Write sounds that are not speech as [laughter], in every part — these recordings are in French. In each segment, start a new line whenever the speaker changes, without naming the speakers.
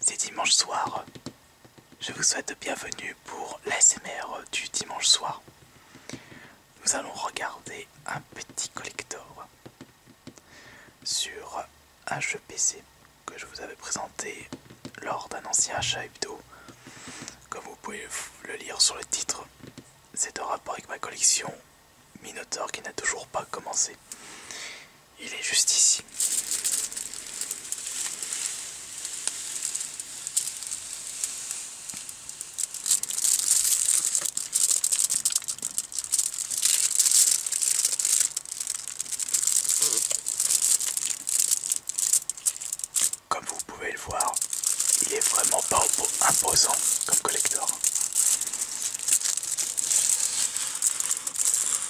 C'est dimanche soir. Je vous souhaite bienvenue pour l'ASMR du dimanche soir. Nous allons regarder un petit collector sur un jeu PC que je vous avais présenté lors d'un ancien achat hebdo. Comme vous pouvez le lire sur le titre, c'est en rapport avec ma collection Minotaur qui n'a toujours pas commencé il est juste ici. Comme vous pouvez le voir, il est vraiment pas imposant comme collector.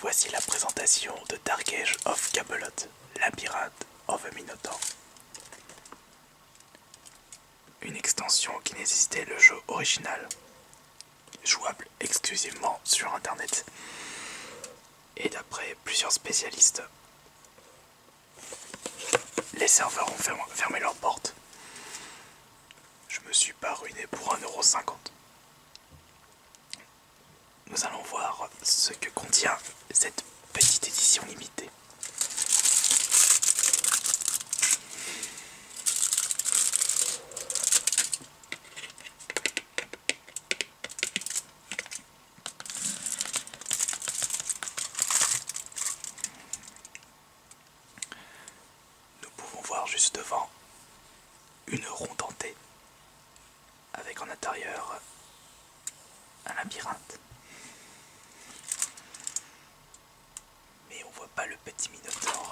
Voici la présentation de age of la pirate of a Minotaur. Une extension qui n'existait le jeu original, jouable exclusivement sur internet et d'après plusieurs spécialistes, les serveurs ont fermé leurs portes. Je me suis pas ruiné pour 1,50€. Nous allons voir ce que contient cette petite édition limitée. Nous pouvons voir juste devant une ronde dentée avec en intérieur un labyrinthe. Mais on voit pas le petit minotaure.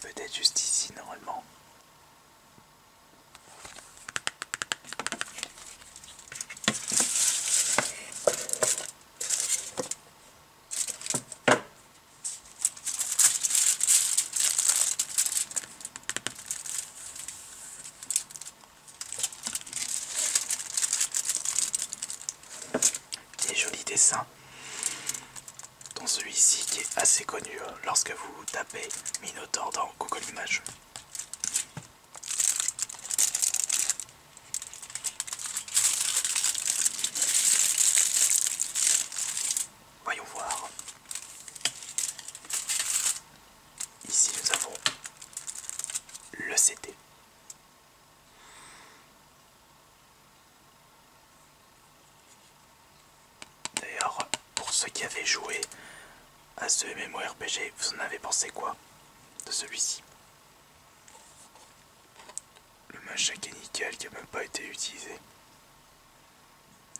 Peut-être juste ici normalement. Des jolis dessins, dont celui-ci qui est assez connu hein, lorsque vous tapez taper Minotaur dans Google Voyons voir. Ici nous avons le CD. D'ailleurs, pour ceux qui avaient joué à ce MMORPG, vous en avez pensé quoi de celui-ci Le qui est nickel qui n'a même pas été utilisé.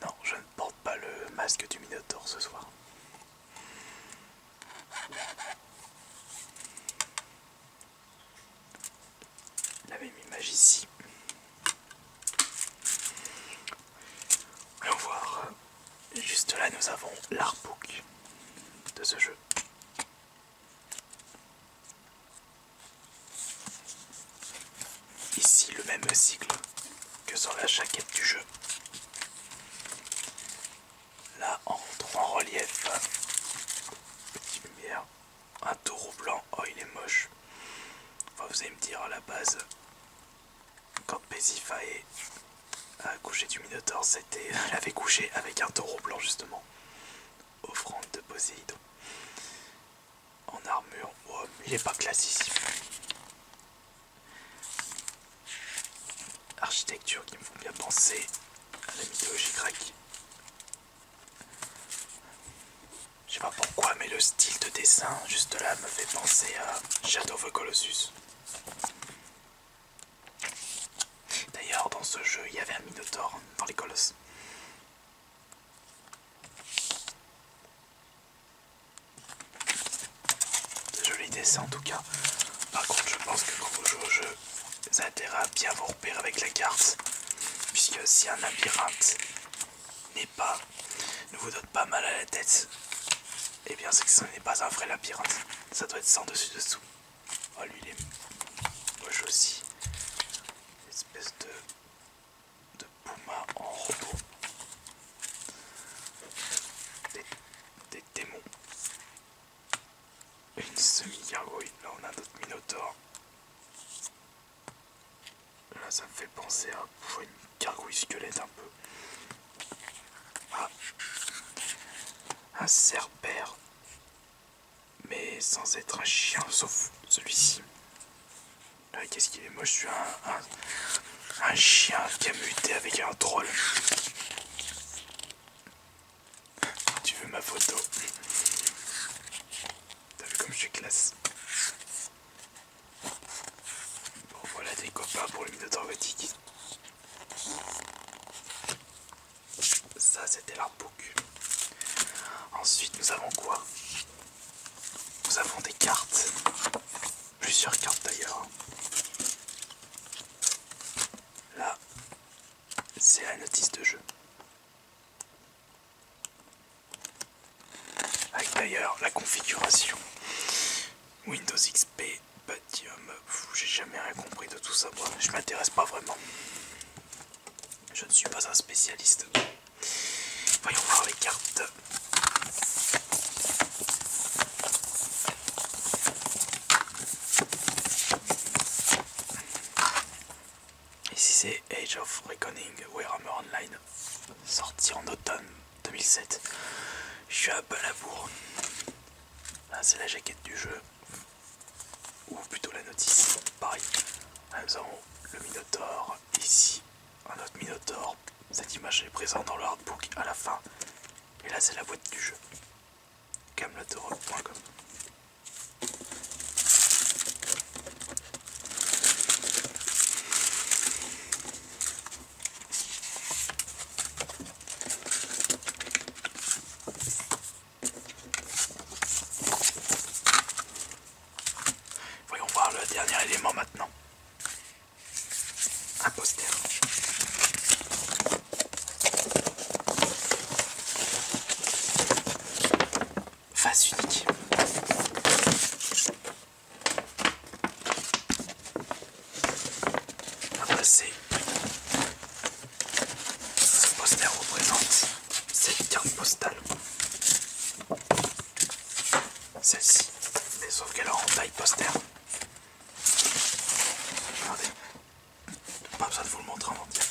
Non, je ne porte pas le masque du Minotaur ce soir. La même image ici. Allons voir. Juste là, nous avons l'artbook de ce jeu. Ici, le même cycle que sur la jaquette du jeu. Là, en relief, petite lumière, un taureau blanc. Oh, il est moche vous allez me dire à la base, quand Paisifae a couché du Minotaur, c'était, [laughs] elle avait couché avec un taureau blanc justement, offrande de Poséidon. En armure, oh, il est pas classique Architecture qui me font bien penser à la mythologie grecque. Je sais pas pourquoi, mais le style de dessin juste là me fait penser à Shadow of the Colossus. D'ailleurs, dans ce jeu, il y avait un Minotaur dans les Colosses. Joli dessin en tout cas. Par contre, je pense que quand vous jouez au jeu, vous à bien vous repérer avec la carte. Puisque si un labyrinthe pas ne vous donne pas mal à la tête, et eh bien c'est que ce n'est pas un vrai labyrinthe. Ça doit être sans dessus dessous. Oh lui il est moche aussi. espèce de, de puma en robot. Des, démons. Une semi-gargouille. Là on a notre Minotaur. Là, ça me fait penser à une gargouille squelette un peu. Ah, un serpère mais sans être un chien, sauf celui-ci. Ah, qu'est-ce qu'il est moche, je suis un, chien qui a muté avec un troll. Tu veux ma photo T'as vu comme je suis classe Bon voilà des copains pour le Ça c'était l'artbook. Ensuite nous avons quoi Nous avons des cartes. Plusieurs cartes d'ailleurs. Là, c'est la notice de jeu. Avec d'ailleurs la configuration Windows XP, Pentium, j'ai jamais rien compris de tout ça, moi. je m'intéresse pas vraiment. Je ne suis pas un spécialiste. Voyons voir les cartes. Ici c'est Age of Reckoning Warhammer Online, sorti en automne 2007. Je suis à Là ah, c'est la jaquette du jeu, ou plutôt la notice, pareil. Là, nous le Minotaur, ici un autre Minotaur. Cette image est présente dans le à la fin. Et là c'est la boîte du jeu. Camelotero.com Voyons voir le dernier élément maintenant. Un poster face unique. c'est ce poster représente cette carte postale. Celle-ci, mais sauf qu'elle est en taille poster. Regardez, pas besoin de vous le montrer en entier.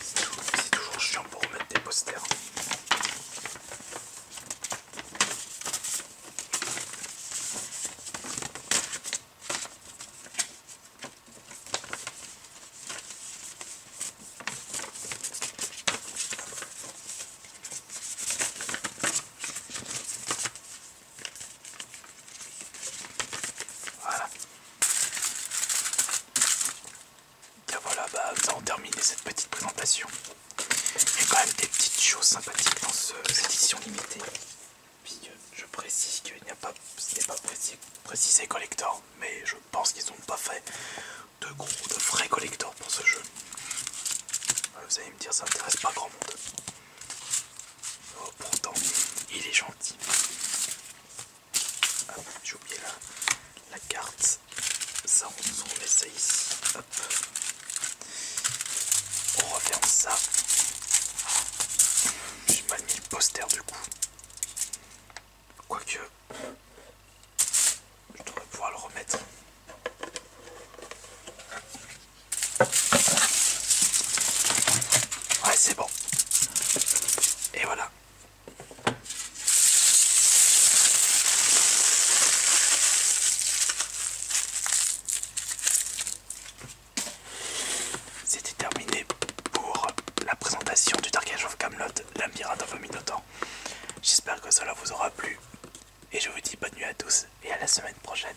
C'est toujours chiant pour mettre des posters et voilà, bah, nous avons terminé cette petite présentation. Il y a quand même des petites choses sympathiques dans ces cette édition limitée. Puisque euh, je précise qu'il n'y a pas, n'est pas précisé, précisé collector, mais je pense qu'ils n'ont pas fait de gros, de vrais collector pour ce jeu. Euh, vous allez me dire, ça n'intéresse pas grand monde. Oh, pourtant, il est gentil j'ai oublié La carte. Ça, on met ça ici. On referme ça. J'ai mal mis le poster du coup. Quoique, je devrais pouvoir le remettre. Ouais, c'est bon. Et voilà. C'était terminé pour la présentation du Dark Age of Camelot, la of a Minotaur. J'espère que cela vous aura plu et je vous dis bonne nuit à tous et à la semaine prochaine.